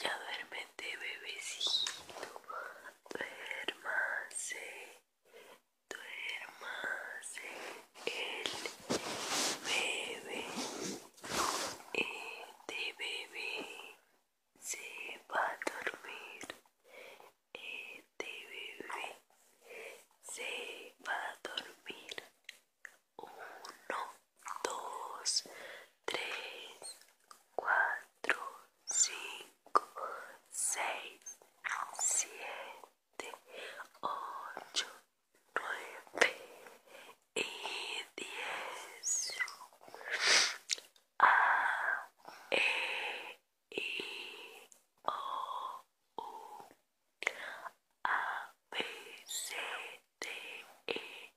Ya duermete bebecito. Duermase Duermase El bebé. Este bebé se va a dormir. Este bebé se va a dormir. 1, dos, tres, cuatro, cinco, seis, siete, ocho, nueve y diez. A, E, I, O, U, A, B, C, D, e,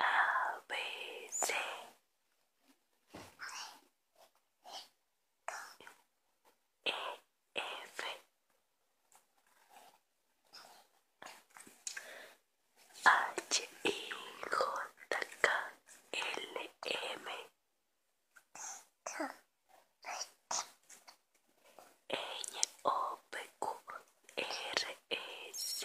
A B C. E F H I J K L M N O P Q R S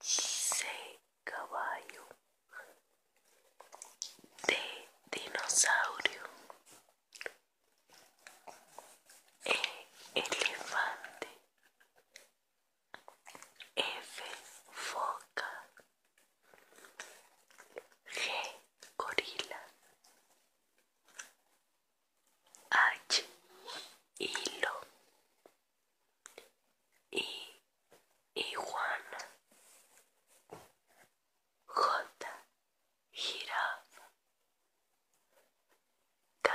C caballo D dinosaurio E elefante F foca G gorila H hilo I, iguana J, jirafa K,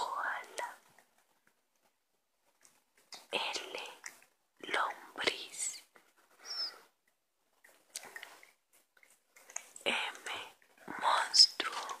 koala L, lombriz M, monstruo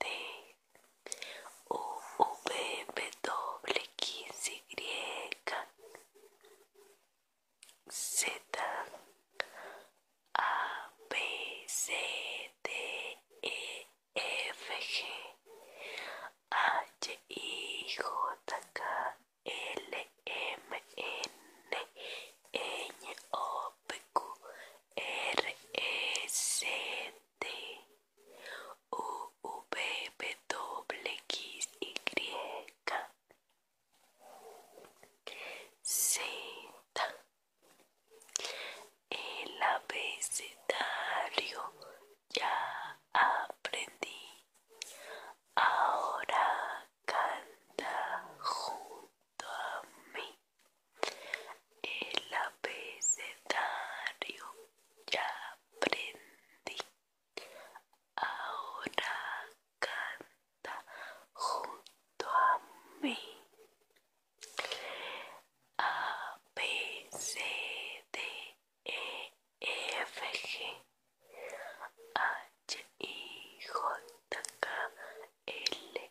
T U V W X Y Z A B C D E F G H I J K L M N e, Ñ, O P Q R, E, T, U, V, W, X, Y, Z, el abecedario ya aprendí, ahora canta junto a mí. El abecedario ya aprendí. Ahora canta junto a mí. A, B, C, D, E, F, G, H, I, J, K, L,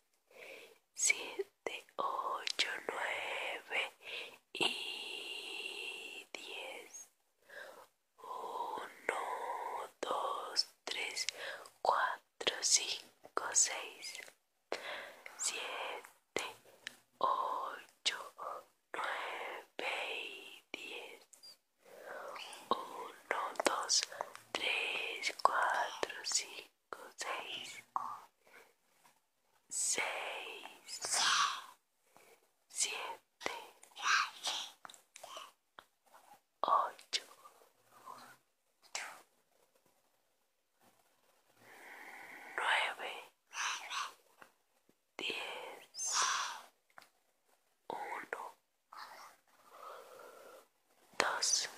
siete, ocho, nueve y diez. Uno, dos, tres, cuatro, cinco, seis, siete, ocho, nueve y diez. 1, 2, 3, 4, 5, 6, 6, 7, 8, 9, 10, 1, dos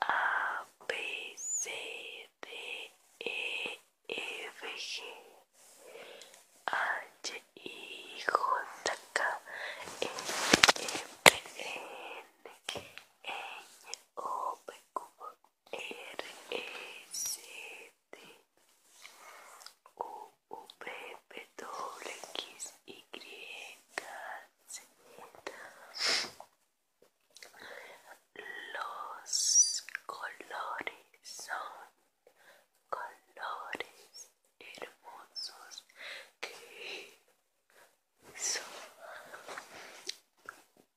A B C D E F G H I J K L e, M e, O P Q R S e, T U X, Y, Los colores son colores hermosos que son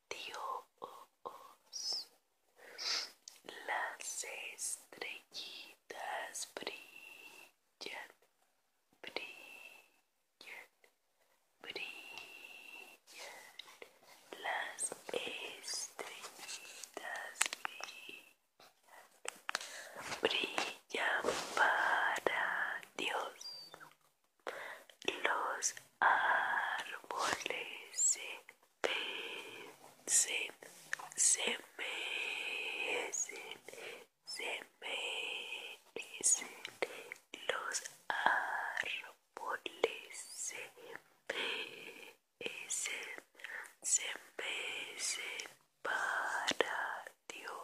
Dios las estrellitas brillan, brillan, brillan. Las estrellitas brillan, brillan para Dios. Los árboles mecen, se mecen, se mecen, los árboles se mecen, se mecen para Dios.